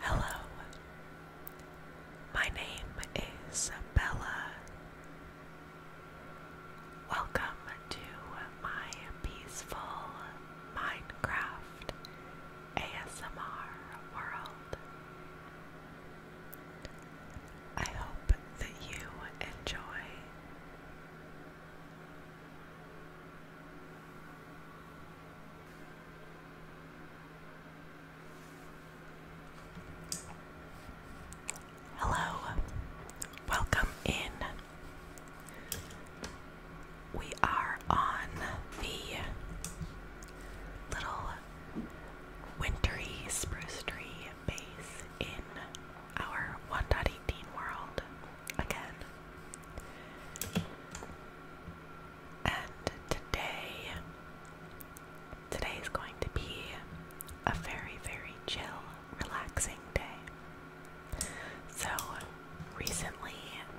Hello, my name is Bella. Welcome to my peaceful Minecraft ASMR world. I hope that you enjoy. Hello, welcome in. We are on the little wintry spruce tree base in our 1.18 world again. And today, today is going to be a very, very chill, relaxing day. So, recently,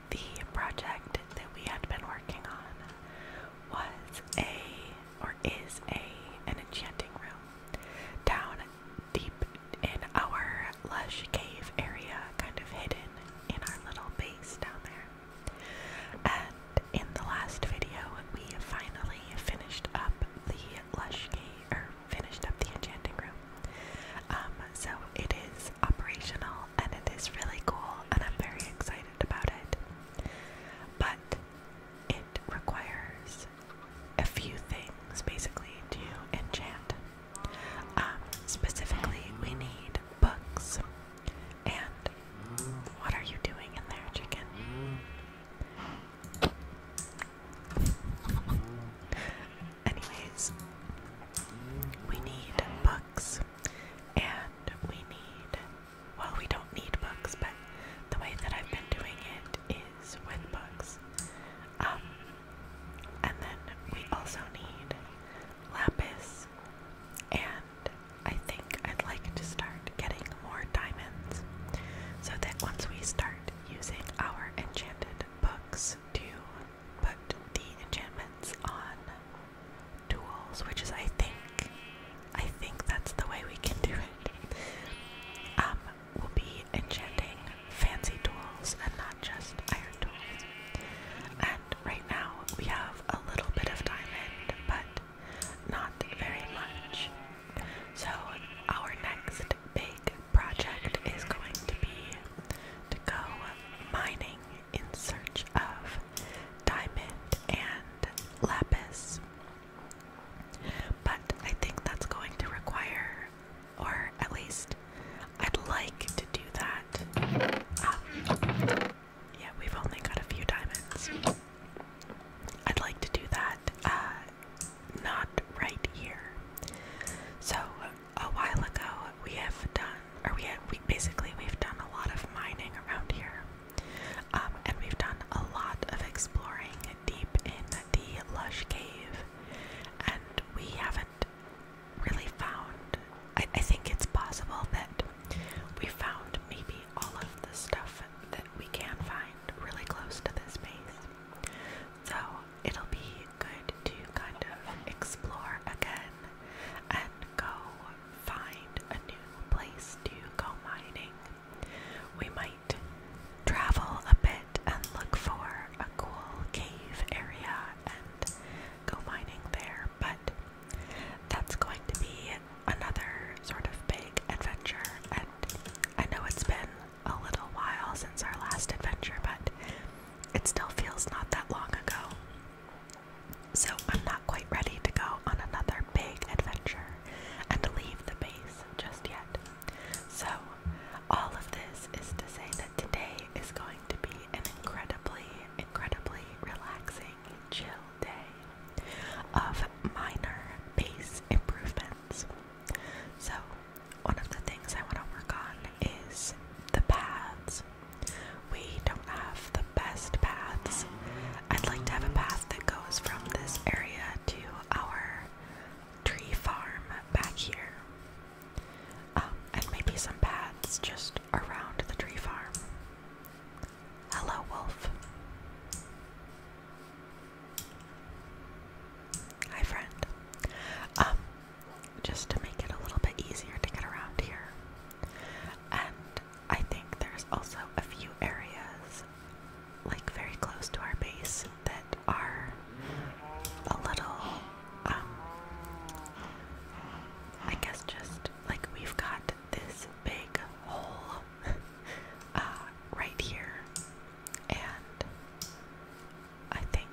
the project that we had been working on was a or is a an enchanting room down deep in our lush cave area, kind of hidden in our little base down there. And in the last video, we finally finished up the lush cave, or finished up the enchanting room. Um, so it is operational and it is really cool, and I'm very excited about it. But it requires a few things basically to enchant. Um, specifically, we need books. And what are you doing in there, chicken? Anyways, we need books and we need well, we don't need books, but the way that I've been doing it is with books. Um, and then we also need lapis, and I think I'd like to start getting more diamonds so that once we start using our enchanted books to put the enchantments on tools, which is I think, I think that's the way we can do it. Um, will be enchanting fancy tools and not just iron tools. And right now we have a little bit of diamond, but not very much. So our next big project is going to be to go mining in search of diamond and lapis. But I think that's going to require, or at least I'd like to do that. Um, yeah, we've only got a few diamonds. I'd like to do that, uh, not right here. So a while ago, we have done, or we had, we basically we've done a lot of mining around here, um, and we've done a lot of exploring deep in the Lush Cave, and we haven't really found. I, think it's possible that we found maybe all of the stuff that we can find really close to this base. So it'll be good to kind of explore again go find a new place to go mining. We might travel a bit and look for a cool cave area and go mining there, but that's going to be another sort of big adventure. And I know it's been a little while since our last adventure, but it still feels not that long ago. So I'm not quite ready to go on another big adventure and leave the base just yet. So, all of this is to say that today is going to be an incredibly, incredibly relaxing, chill day of minor base improvements. So, one of the things I want to work on is the paths. We don't have the best paths. I'd like to have a path that goes from this area to our tree farm back here. Um, and maybe some paths just around the tree farm. Hello, Wolf. Hi, friend. Um, just to make it a little bit easier to get around here, and I think there's also a few areas, like very close to our base, that are a little, um, I guess just like we've got this big hole uh, right here, and I think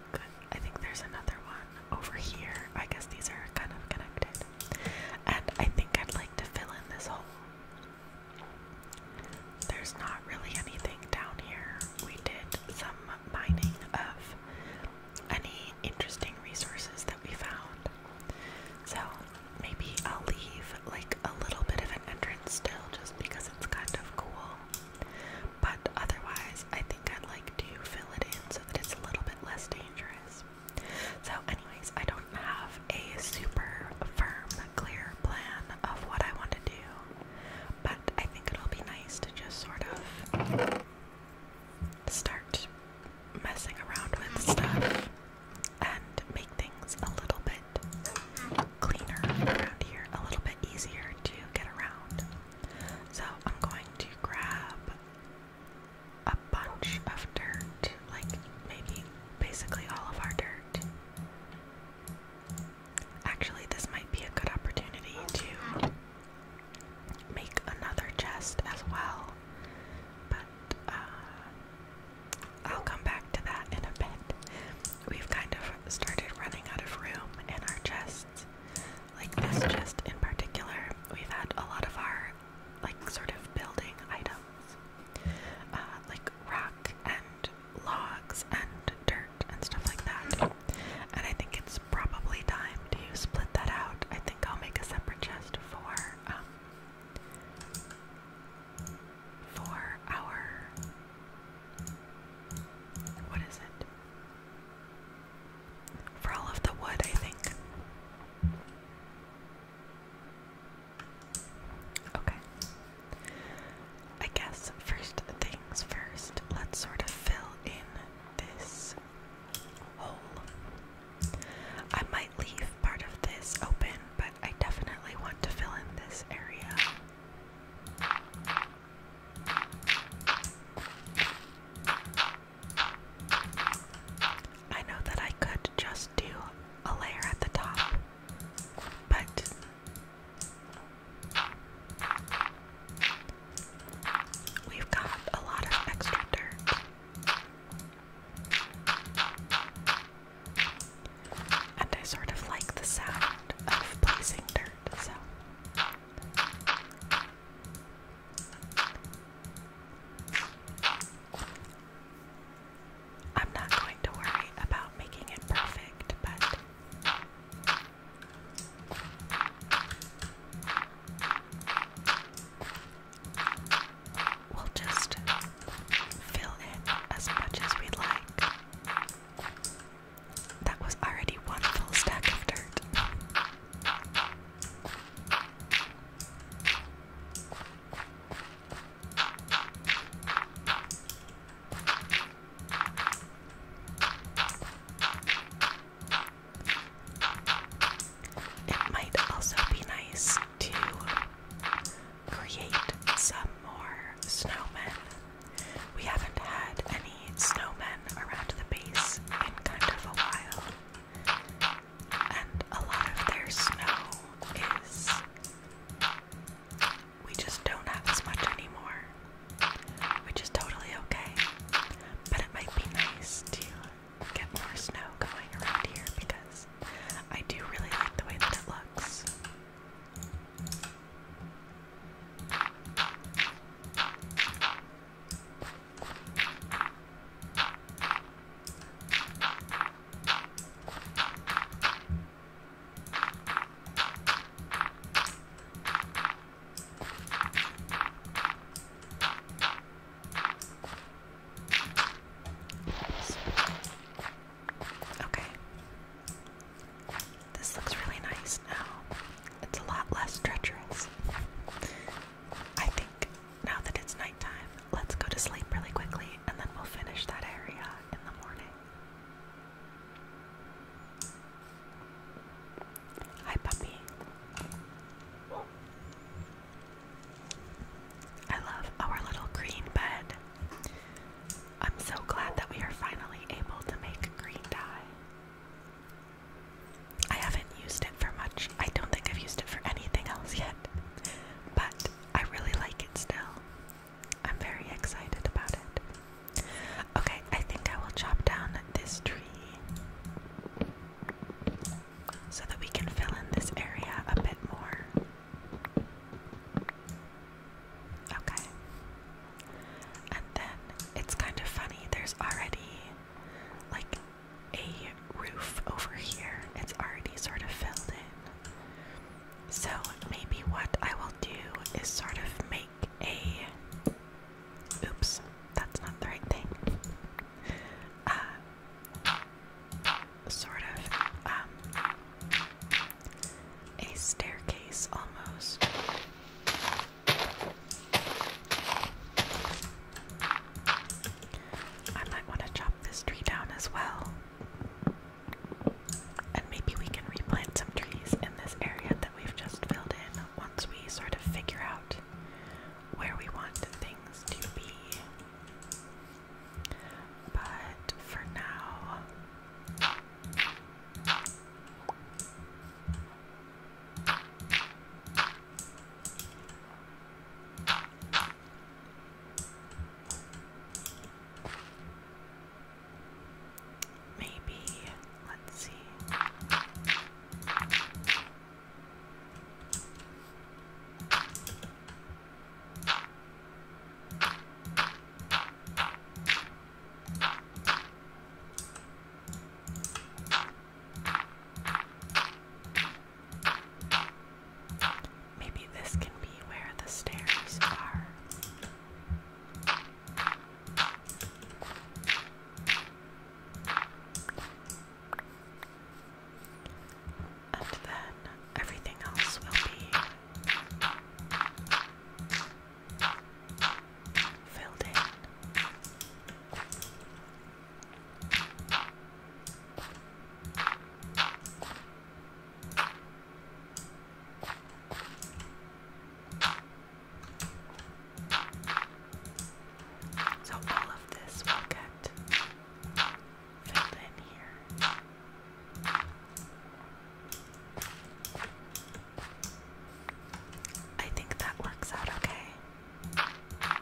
I think there's another one over here. I guess these are kind of connected. And I think I'd like to fill in this hole. There's not really anything down here. We did some mining of any interesting resources that we found. So maybe I'll leave like a little bit of an entrance still just because it's kind of cool. But otherwise, I think I'd like to fill it in so that it's a little bit less dangerous. So, anyways, I don't have a super firm, clear plan of what I want to do, but I think it'll be nice to just sort of start messing around with stuff and make things a little bit cleaner around here, a little bit easier to get around. So, I'm going to grab a bunch of dirt, like maybe basically all of our dirt. Actually, this might be a good opportunity to make another chest as well, but uh, I'll come back to that in a bit. We've kind of started running out of room in our chests. Like this chest in particular, we've had a lot of our like sort of building items, uh, like rock and logs and dirt and stuff like that. And I think it's probably time to split that out. I think I'll make a separate chest for um, for our what is it? For all of the wood, I think. Okay. I guess first things first, let's sort of fill in this hole. I might leave part of this open, but I definitely want to fill in this area. I know that I could just do a layer at the top, but we've got a lot of extra dirt. And I sort of like the sound of placing dirt, so. I'm not going to worry about making it perfect, but. We'll just fill it as much as we would like. That was already one full stack of dirt. It might also be nice to create some more snowmen. We haven't had any snowmen around the base in kind of a while. And a lot of their snow is. We just don't have as much anymore, which is totally okay. But it might be nice to get more snow going around here because I do really like the way that it looks. Okay. This looks really nice now. It's a lot less treacherous. I think now that it's nighttime, let's go to sleep really quickly and then we'll finish that area in the morning. Hi, puppy. I love our little green bed. I'm so glad that we are finally able to make green dye. I haven't used it for much. I don't think I've used it for anything else yet but I really like it still. I'm very excited about it. Okay, I think I will chop down this tree so that we can fill in this area a bit more. Okay. And then it's kind of funny, there's already like a roof over here. It's already sort of filled in. So maybe what I will do is sort of make a. Oops, that's not the right thing. Uh, sort of um, a staircase almost. I might want to chop this tree down as well. And maybe we can replant some trees in this area that we've just filled in once we sort of figure out where we want things to be. But for now, Maybe, let's see. Maybe this can be where the stairs are. And then everything else will be filled in. So all of this will get filled in here. I think that works out okay.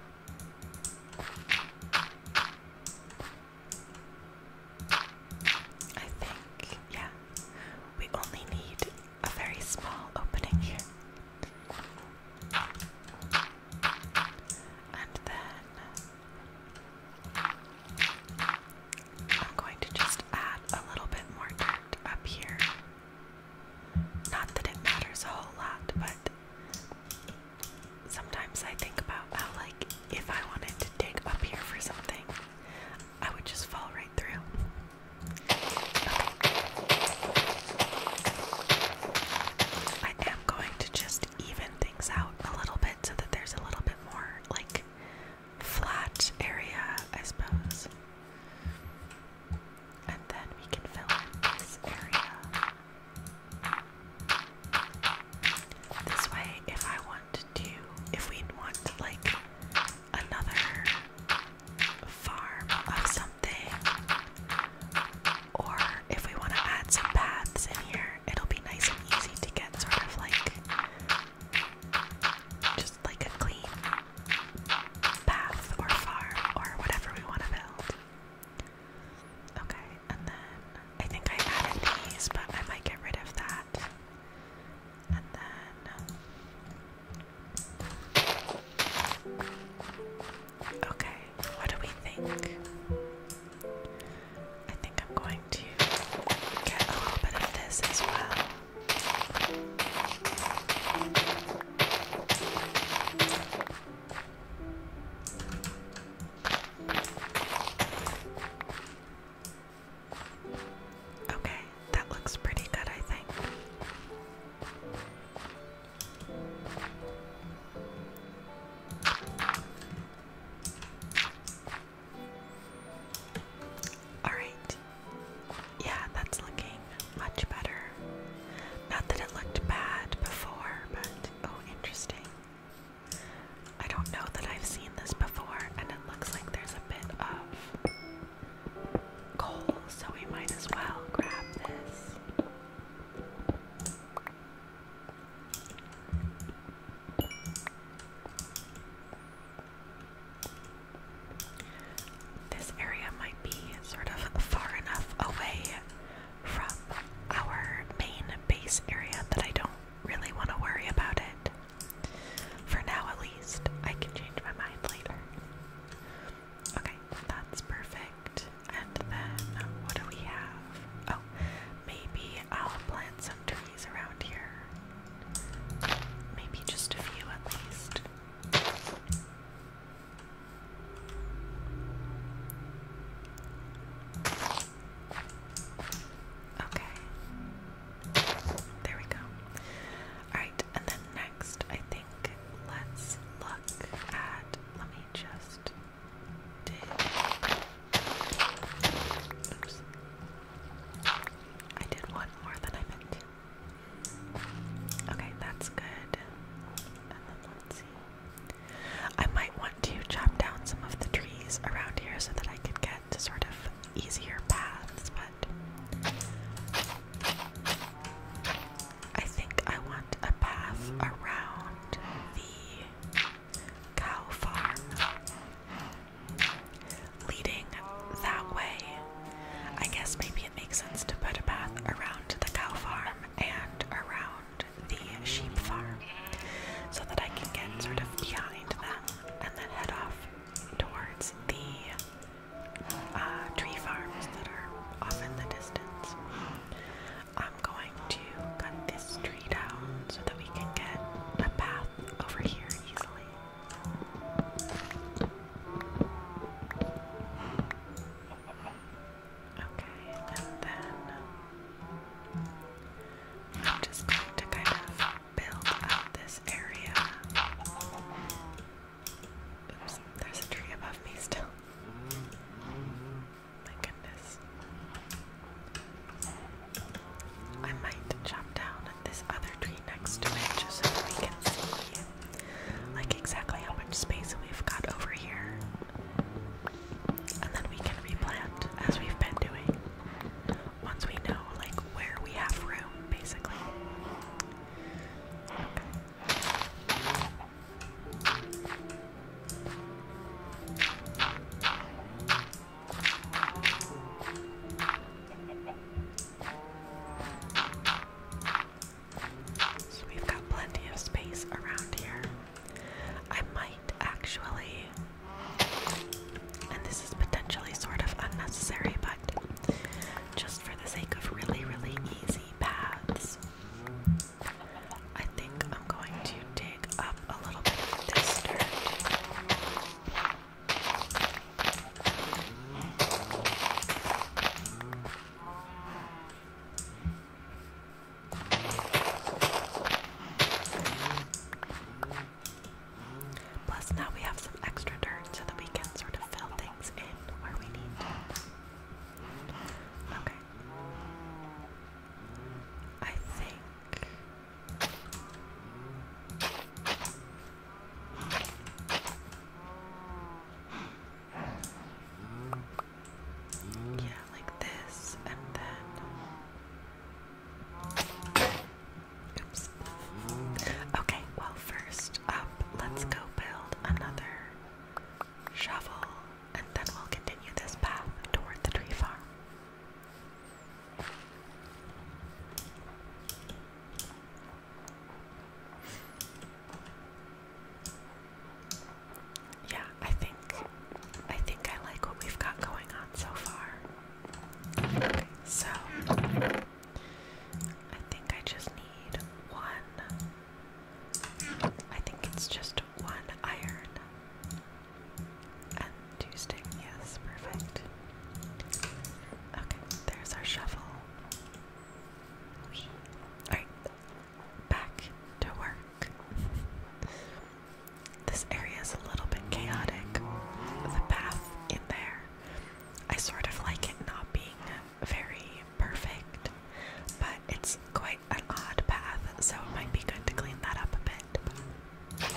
I think, yeah, we only need a very small opening here. And then I'm going to just add a little bit more dirt up here. Not that it matters a whole lot, but sometimes I think about how, like, if I wanted to dig up here for something, I would just fall right through. I am going to just even things out a little bit so that there's a little bit more, like, flat area, I suppose. And then we can fill in this area. This way, if I wanted to, if we'd want like another farm of something, or if we want to add some paths in here, it'll be nice and easy to get sort of like just like a clean path or farm or whatever we want to build. Okay, and then I think I added these, but I might get rid of that. And then. Okay, what do we think? I think I'm going to get a little bit of this as well. Okay, that looks pretty good, I think. Alright. Yeah, that's looking much better. Not that it looked bad before, but oh, interesting. I don't know that I've seen this before, and it looks like there's a bit of coal, so we might as well grab this. This area might be sort of far enough away from our main base area that I don't really want to worry about it. For now, at least. I can change my mind later. Okay, that's perfect. And then, what do we have? Oh, maybe I'll plant some trees around here. Maybe just a few at least. Okay. There we go. Alright, and then next, I think let's look at. Let me just. Oops. I did one more than I meant to. Okay, that's good. And then let's see. I might want to chop down some of the trees around here so that I could get to sort of easier paths, but I think I want a path around the cow farm leading that way. I guess maybe it makes sense to put a path around the cow farm and around the sheep farm so that I can get sort of behind them and then head off towards the uh, tree farms that are off in the distance. I'm going to cut this tree down so that we can get a path over here easily. Okay, and then I'm just going to kind of build up this area. Oops, there's a tree above me still. My goodness. I might chop down this other tree next to it just so that we can see like exactly how much space we've got over here. And then we can replant as we've been doing. Once we know like where we have room, basically. So we've got plenty of space around here. I might actually, and this is potentially sort of unnecessary, but just for the sake of really, really easy paths, I think I'm going to dig up a little bit of this dirt. Plus, now we have some extra dirt so that we sort of fill things in where we need Okay. I think. Yeah, like this, and then. Oops. Okay, well, first up, let's go build another shovel, and then we'll continue this path toward the tree farm yeah, I think I think I like what we've got going on so far. so I think I just need one. I think it's just one iron and two stick. Yes, perfect. Okay, there's our shovel. Alright, back to work. this area is a little bit chaotic. The path in there, I sort of like it not being very perfect, but it's quite an odd path, so it might be good to clean that up a bit.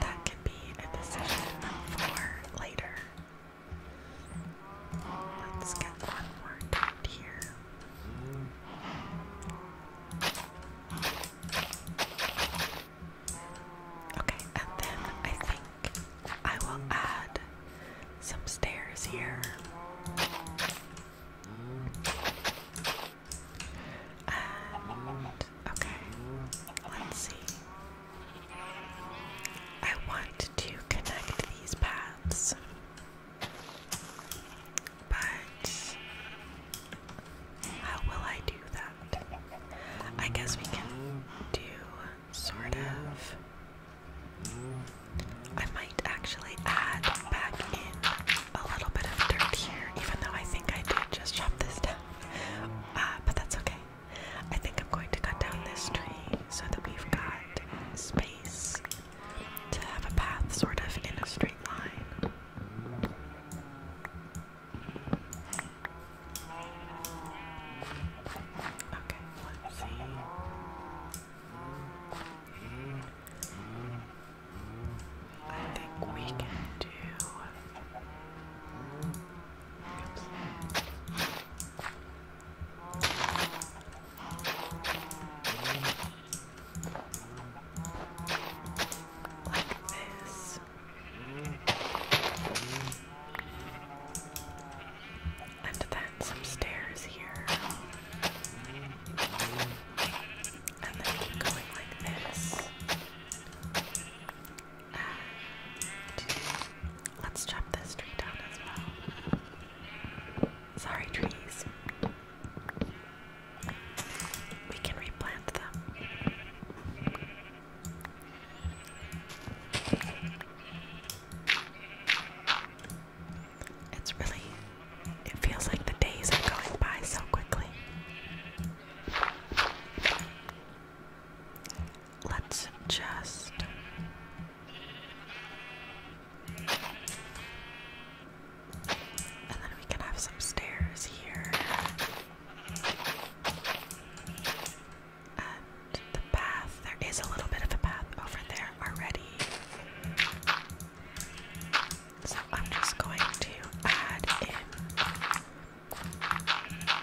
That can be a decision for later. Let's get one more dot here. Okay, and then I think I will add some stairs here. And okay, let's see. I want to connect these paths. But how will I do that? I guess we can do sort of. I might actually add back in a little bit of dirt here, even though I think I did just chop this down. Uh, but that's okay. I think I'm going to cut down this tree so that we've got space to have a path sort of in a straight line. Okay, let's see. I think we can do. Like this. And then some stairs here. And then keep going like this. let's chop this tree down as well. Sorry, trees. We can replant them. It's really, it feels like the days are going by so quickly. Let's just and then we can have some stairs here. And the path, there is a little bit of a path over there already. So I'm just going to add in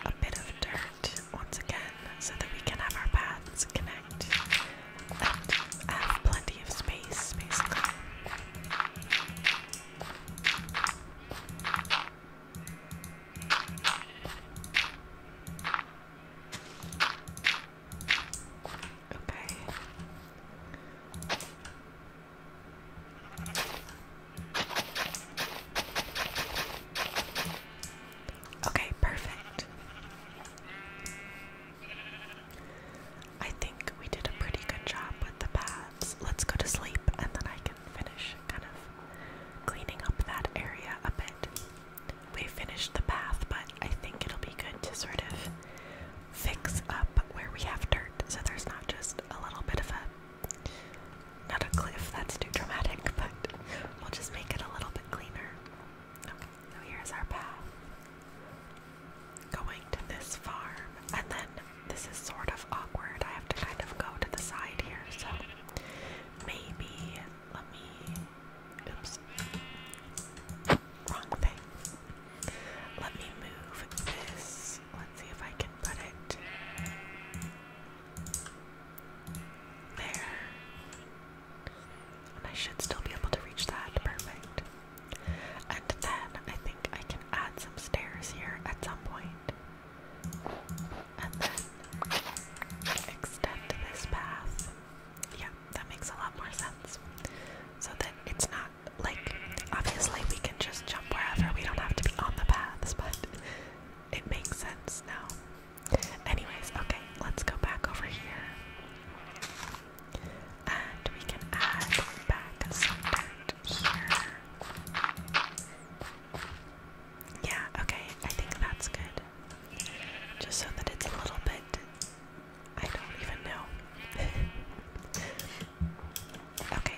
a bit of dirt once again so that we can have our paths connect. I have plenty of space, basically. Okay. Okay, perfect. I think we did a pretty good job with the paths. Let's go to sleep and then I can finish kind of cleaning up that area a bit. We finished the path, but I think it'll be good to sort of fix up where we have dirt so there's not just a little bit of a not a cliff, that's too dramatic, but we'll just make it a little bit cleaner. Okay, so here's our path going to this farm. And then this is sort of awkward. I have to kind of go to the side here, so maybe let me. Oops. Wrong thing. Let me move this. Let's see if I can put it there. And I should still be able to reach that. Perfect. And then I think I can add some stairs here at some point. And then extend this path. Yeah, that makes a lot more sense. So that it's not like obviously we can just jump wherever, we don't have to be on the paths, but it makes sense now. Anyways, okay, let's go back over here. And we can add back some dirt here. Yeah, okay, I think that's good. Just so that it's a little bit. I don't even know. okay,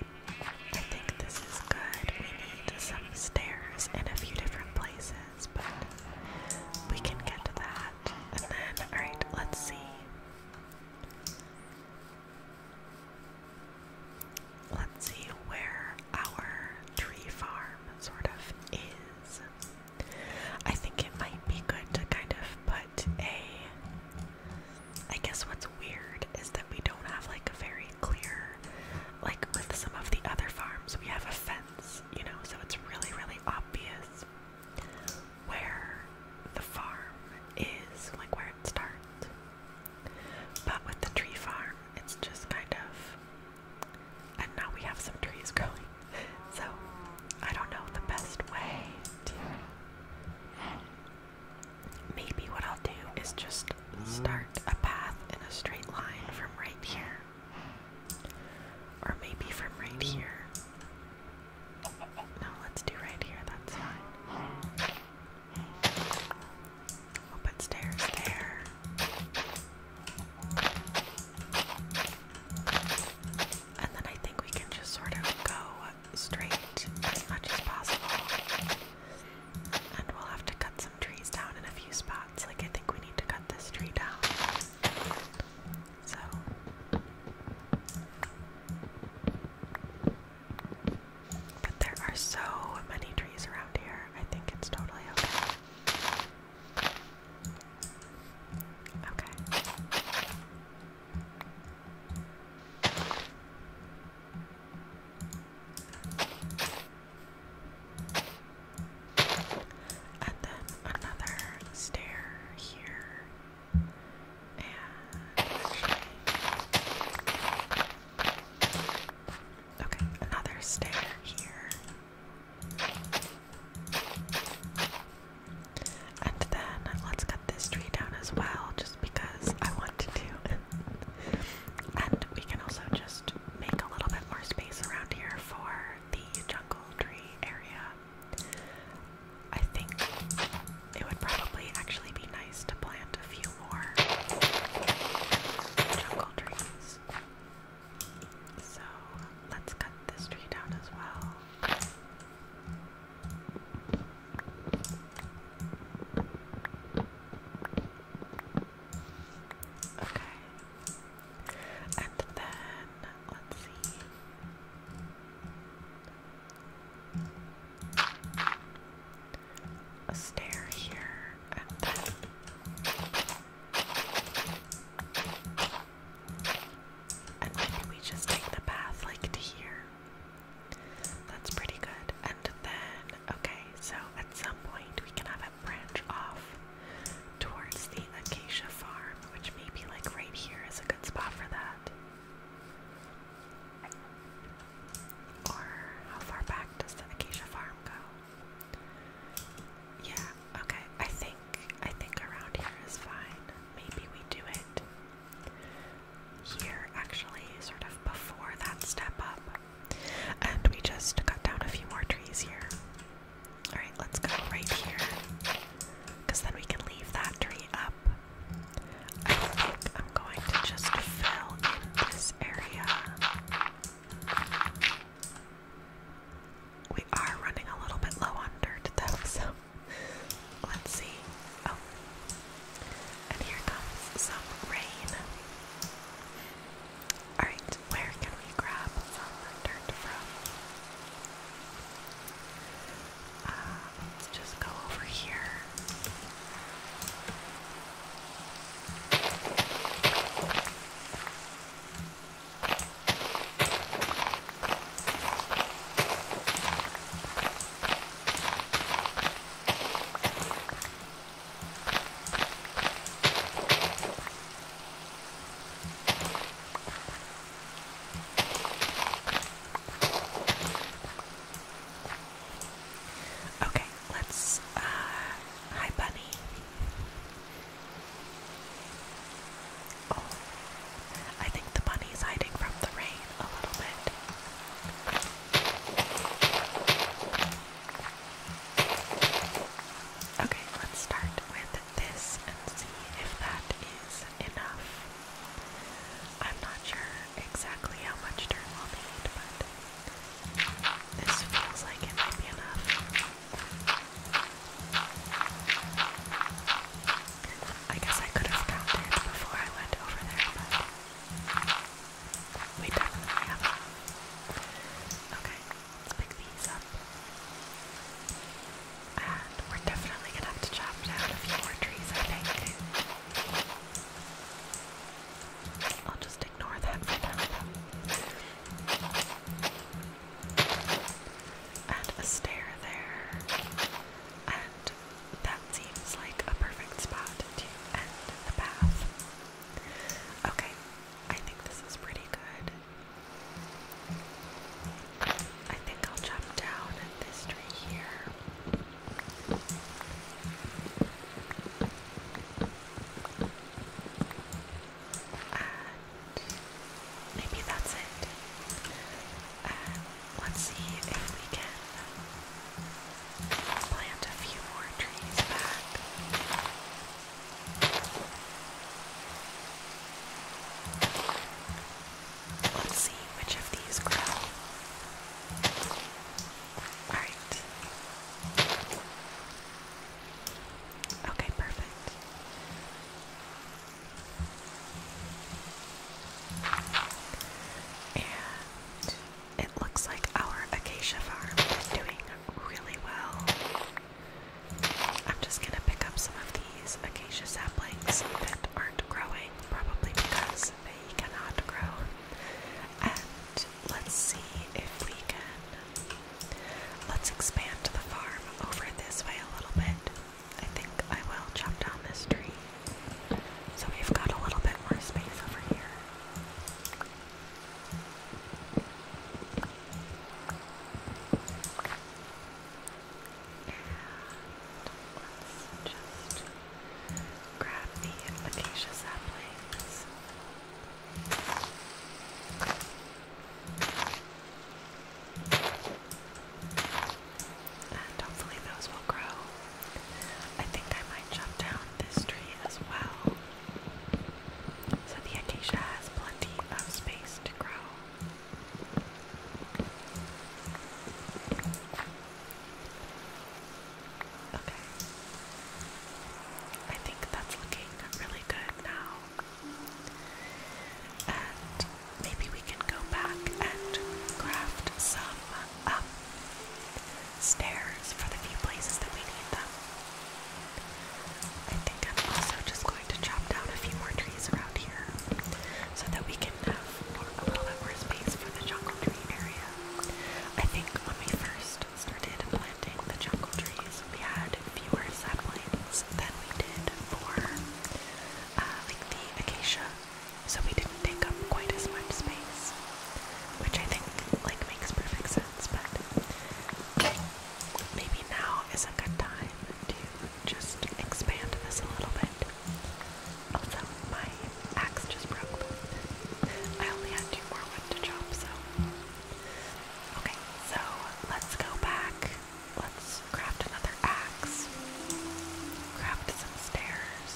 I think this is good. We need some stairs in a few different places, but we can get to that. And then, alright, let's see. Let's see where our tree farm sort of is. I think it might be good to kind of put a. I guess what's weird is that we don't have like a very clear. Like with some of the other farms, we have a fence, you know, so it's really, really obvious where the farm is, like where it starts. But with the tree farm, it's just kind of. And now we have some trees growing. So I don't know the best way to. Maybe what I'll do is just start a path in a straight line from right here or maybe from right here. No, let's do right here, that's fine. we stairs there. And then I think we can just sort of go straight as much as possible. And we'll have to cut some trees down in a few spots. Like, I think we need to cut this tree down. So but there are so many trees around here. I think it's totally okay. Okay and then another stair here. And okay, another stair here. And then let's cut this tree down as well, just because I want to do. and we can also just make a little bit more space around here for the jungle tree area. I think it would probably actually be nice to plant a few more jungle trees. So let's cut this tree down as well. Okay, and then let's see. A stair here and then we just take the path like to here. That's pretty good. And then okay, so at some point we can have it branch off towards the acacia farm, which maybe like right here is a good spot for that. Or how far back does the acacia farm go? Yeah, okay. I think I think around here is fine. Maybe we do it here actually, sort of before that step up. And we just cut down a few more trees here. Alright, let's go right here. Because then we can leave that tree up. I think I'm going to just fill in this area. We are running a little bit low on dirt though, so let's see. Oh. And here comes some rain. Alright, where can we grab some dirt from? Uh, let's just go over here. Okay, let's, uh, hi bunny. Oh, I think the bunny's hiding from the rain a little bit. Okay, let's start with this and see if that is enough. I'm not sure exactly how much dirt we'll need, but this feels like it might be enough. I guess I could have counted before I went over there, but we definitely have enough. Okay, let's pick these up. And we're definitely gonna have to chop down a few more trees, I think. I'll just ignore that for now. And a stair there. And that seems like a perfect spot to end the path. Okay, I think this is pretty good. I think I'll jump down at this tree here. And maybe that's it. let's see if we can plant a few more trees back. Let's see which of these grow. Alright. Okay, perfect. And it looks like our acacia farm is doing really well. I'm just gonna pick up some of these acacia saplings that aren't growing, probably because they cannot grow. And let's see if we can. Let's expand the farm over this way a little bit. I think I will chop down this tree. So we've got a little bit more space over here let's just grab the acacia saplings. And hopefully those will grow. I think I might chop down this tree as well. So the acacia has plenty of space to grow. Okay. I think that's looking really good now. And maybe we can go back and craft some um, stairs for the few places that we need them. I think I'm also just going to chop down a few more trees around here so that we can have a little bit more space for the jungle tree area. I think when we first started planting the jungle trees, we had fewer saplings than we did for uh, like the acacia, so we didn't take up quite as much space, which I think like makes perfect sense. But maybe now is a good time to just expand this a little bit. Also, my axe just broke. I only had two more wood to chop, so. Okay, so let's go back. Let's craft another axe, craft some stairs,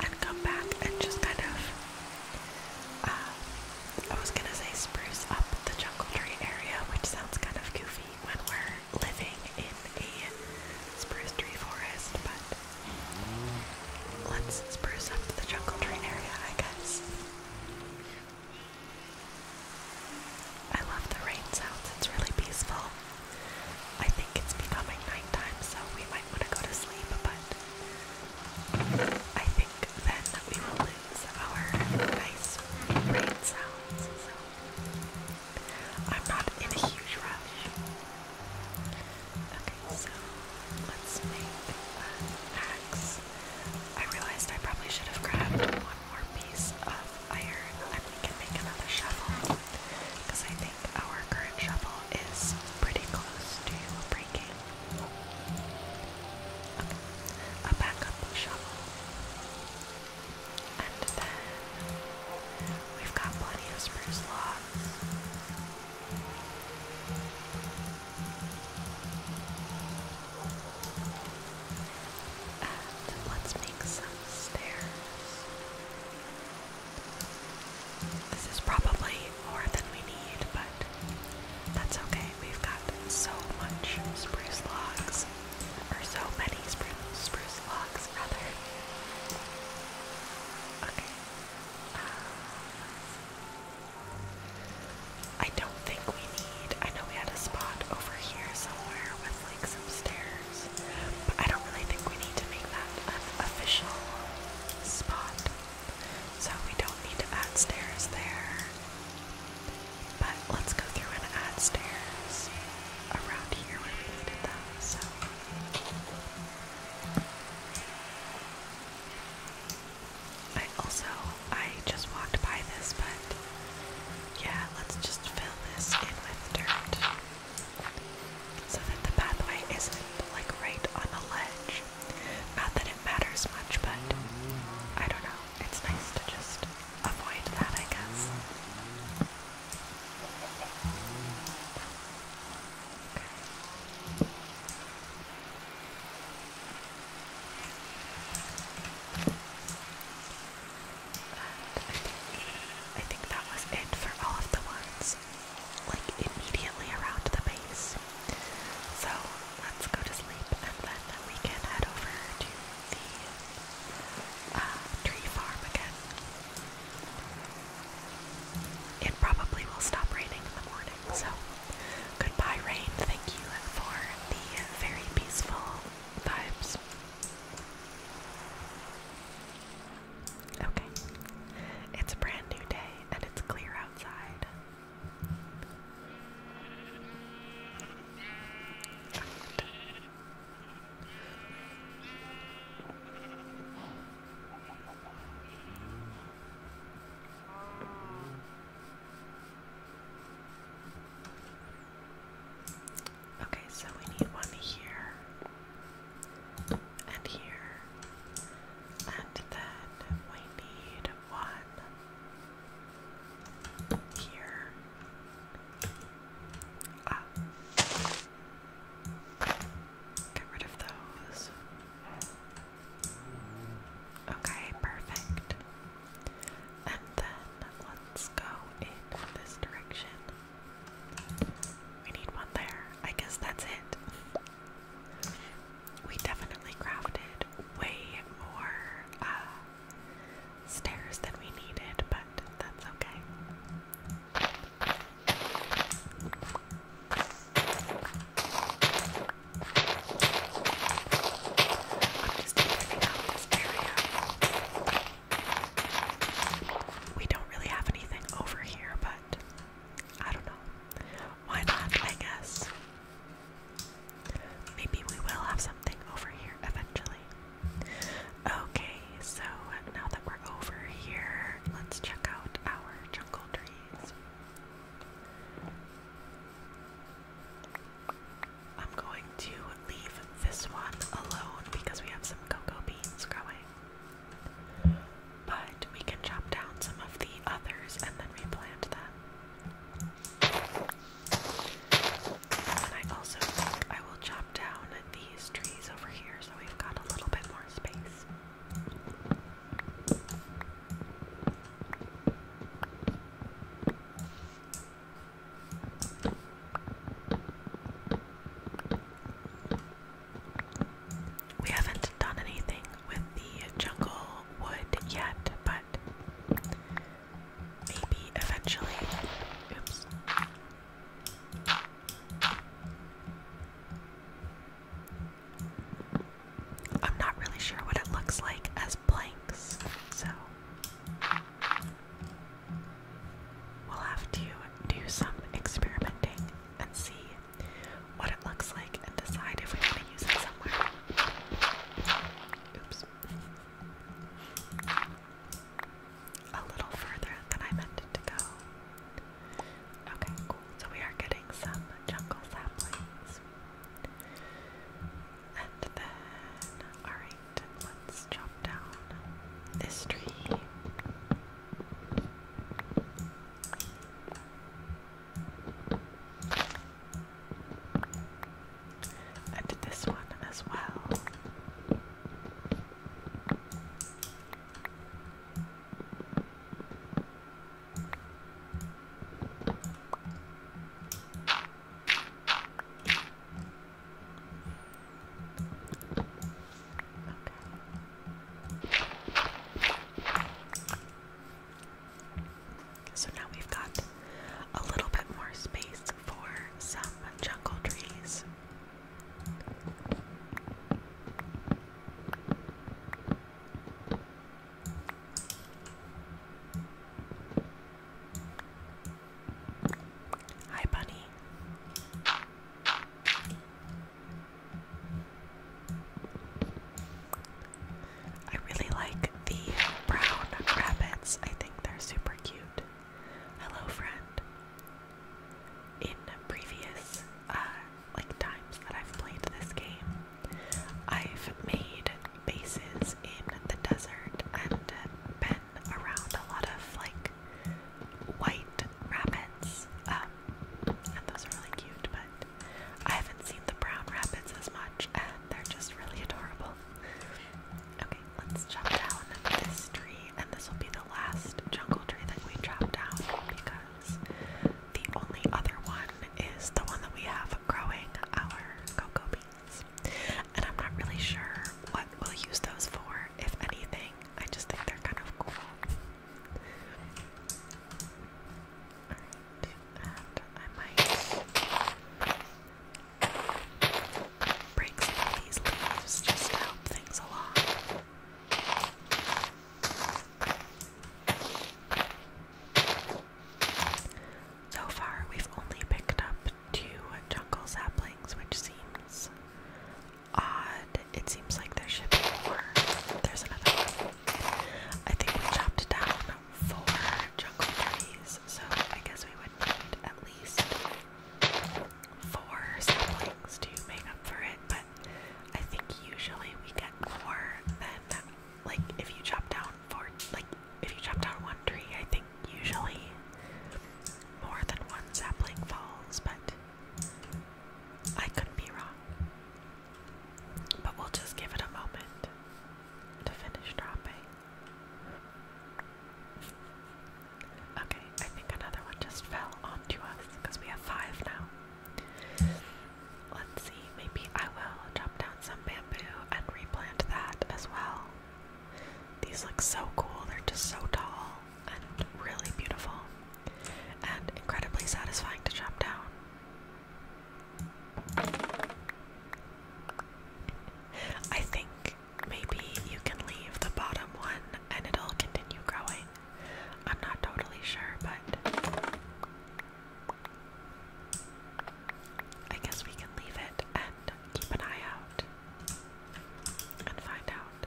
and come back and just kind of. Uh, I was gonna say spruce up the jungle tree area, which sounds kind of goofy, when we're living in a spruce tree forest, but let's spruce up the jungle train area, I guess. I love the rain sounds, it's really peaceful. I think it's becoming nighttime, so we might want to go to sleep, but I think then we will lose our nice rain sounds, I'm not in a huge rush. Okay, so let's make an axe. I realized I probably should have grabbed one more piece of iron. And we can make another shovel. Because I think our current shovel is pretty close to breaking. Okay. A backup shovel. And then we've got plenty of spruce logs. And let's make some stairs. This is probably more than we need, but that's okay. We've got so much spruce logs or so many spruce, logs, rather. Okay. Uh, I don't think we need. I know we had a spot over here somewhere with like some stairs, but I don't really think we need to make that an official spot. So we don't need to add stairs there. But let's go through and add stairs around here when we needed them, so. I also, I just walked by this, but yeah, let's just fill this in with dirt so that the pathway isn't like right on a ledge. Not that it matters much, but I don't know, it's nice to just I think that was it for all of the ones, like immediately around the base. So let's go to sleep and then we can head over to the uh, tree farm again. It probably will stop raining in the morning, so goodbye, rain. Thank you for the very peaceful vibes. Okay, it's a brand new day and it's clear outside. Okay, so we need one here and here, and then we need one here. Ah. Get of those. Okay, perfect. And then let's go in this direction. We need one there. I guess that's it. We definitely crafted way more uh, stairs than we needed, but that's okay. We don't really have anything over here, but I don't know. Why not, I guess? Maybe we will have something over here eventually. Okay, so now that we're over here, let's check out our jungle trees. I'm going to leave this one alone because we have some cocoa beans growing. But we can chop down some of the others and then replant them. I also think I will chop down these trees over here so we've got a little bit more space. We haven't done anything with the jungle wood yet, but Maybe eventually. Oops. I'm not really sure what it looks like as blanks, so we'll have to do some experimenting and see what it looks like and decide if we want to use it somewhere. Oops a little further than I meant it to go. Okay, cool. So we are getting some jungle saplings. And then, alright, let's chop down this tree. I did this one as well. So now we've got a little bit more space for some jungle trees. Hi, Bunny. I really like the brown rabbits. I think they're super cute. Hello, friend. In previous uh, like times that I've played this game, I've made bases in the desert and been around a lot of like white rabbits. Um, and those are really cute, but I haven't seen the brown rabbits as much, they're just really adorable. Okay, let's chop down this tree, and this will be the last jungle tree that we chop down because the only other one is the one that we have growing our cocoa beans. And I'm not really sure what we'll use those for, if anything. I just think they're kind of cool. and I might Bring some these leaves just to help things along. So far, we've only picked up two jungle saplings, which seems odd. It seems like there should be more. There's another one. I think we chopped down four jungle trees, so I guess we would need at least four siblings to make up for it, but I think usually we get more than like if you chop down four like if you chop down one tree, I think usually more than one sapling falls, but I could be wrong. But we'll just give it a moment to finish dropping. Okay, I think another one just fell onto us because we have five now. Let's see, maybe I will chop down some bamboo and replant that as well. These look so cool, they're just so tall and really beautiful and incredibly satisfying to chop down. I think maybe you can leave the bottom one and it'll continue growing. I'm not totally sure, but I guess we can leave it and keep an eye out and find out.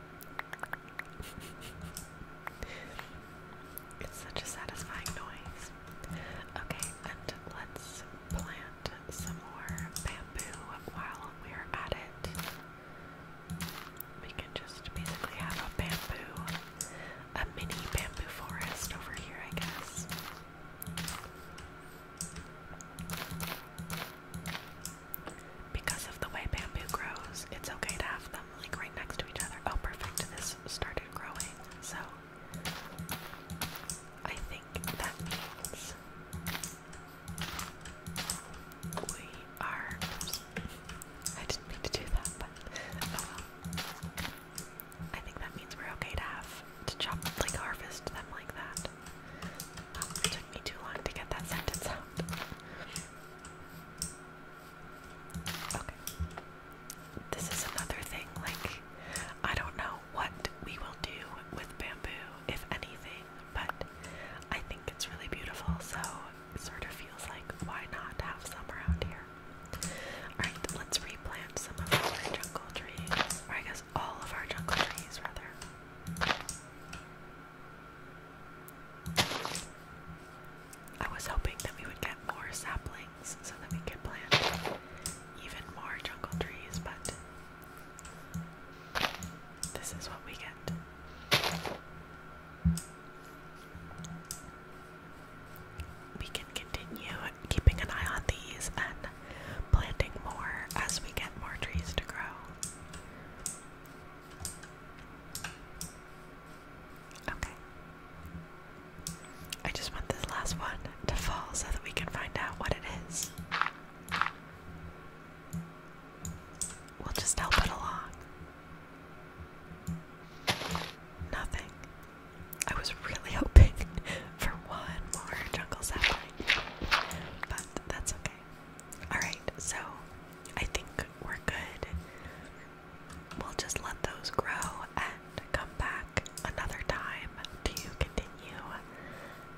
it's such a satisfying noise. Okay, and let's plant some more bamboo while we're at it. We can just basically have a bamboo, a mini bamboo forest over here, I guess. Because of the way bamboo grows, it's okay to have them like right next to each other. Oh, perfect. This started growing. So I think that means we are. I didn't mean to do that, but oh I think that means we're okay to have to chop, like harvest them like that. Um, took me too long to get that sentence out. Okay. This is another thing, like, I don't know what we will do with bamboo, if anything, but I think it's really beautiful, so it sort of feels like why not have some around here? Alright, let's replant some of our jungle trees, or I guess all of our jungle trees, rather. I was hoping that we would get more saplings so that we can plant even more jungle trees, but this is what we get. We can continue keeping an eye on these and planting more as we get more trees to grow. Okay. I just want this last one to fall so that we can find out what it is. We'll just help it along. Nothing. I was really hoping for one more jungle sapling, but that's okay. Alright, so I think we're good. We'll just let those grow and come back another time to continue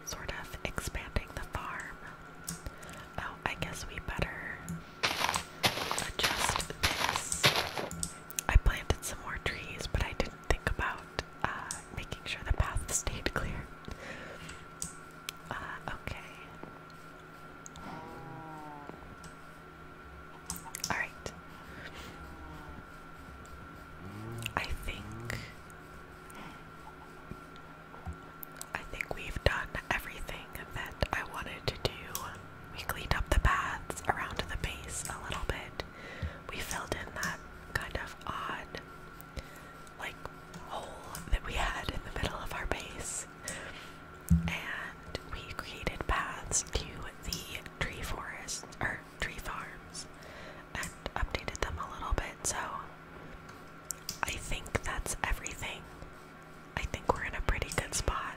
sort of expanding the farm. Oh, I guess we better adjust this. I planted some more trees, but I didn't think about uh, making sure the path stayed clear. Uh, okay. Alright. I think I think we've done everything that I wanted to do. We cleaned up the paths around the base a little bit. We filled in that kind of odd like hole that we had in the middle of our base. And we created paths to the tree forest tree farms, and updated them a little bit. So I think that's everything. I think we're in a pretty good spot.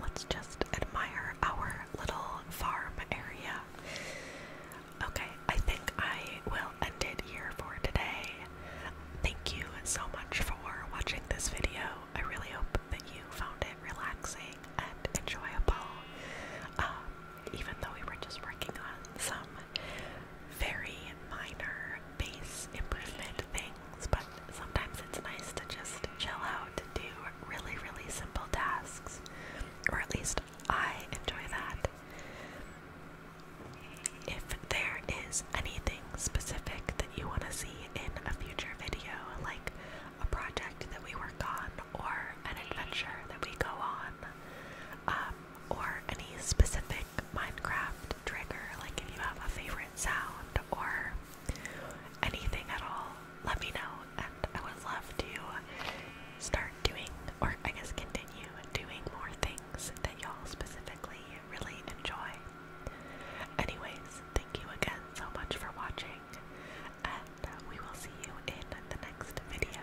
Let's just admire our little farm area. Okay, I think I will end it here for today. Thank you so much for watching this video. I really hope that you found it relaxing and enjoyable. Um, even though we were just working on some very minor base improvement things, but sometimes it's nice to just chill out and do really, really simple tasks. Or at least I enjoy that. If there is anything specific that you want to see in a future video, like a project that we work on, or an adventure that we go on, um, or any specific Minecraft trigger, like if you have a favorite sound or anything at all, let me know, and I would love to start doing, or I guess continue doing more things that y'all specifically really enjoy. Anyways, thank you again so much for watching and uh, we will see you in the next video.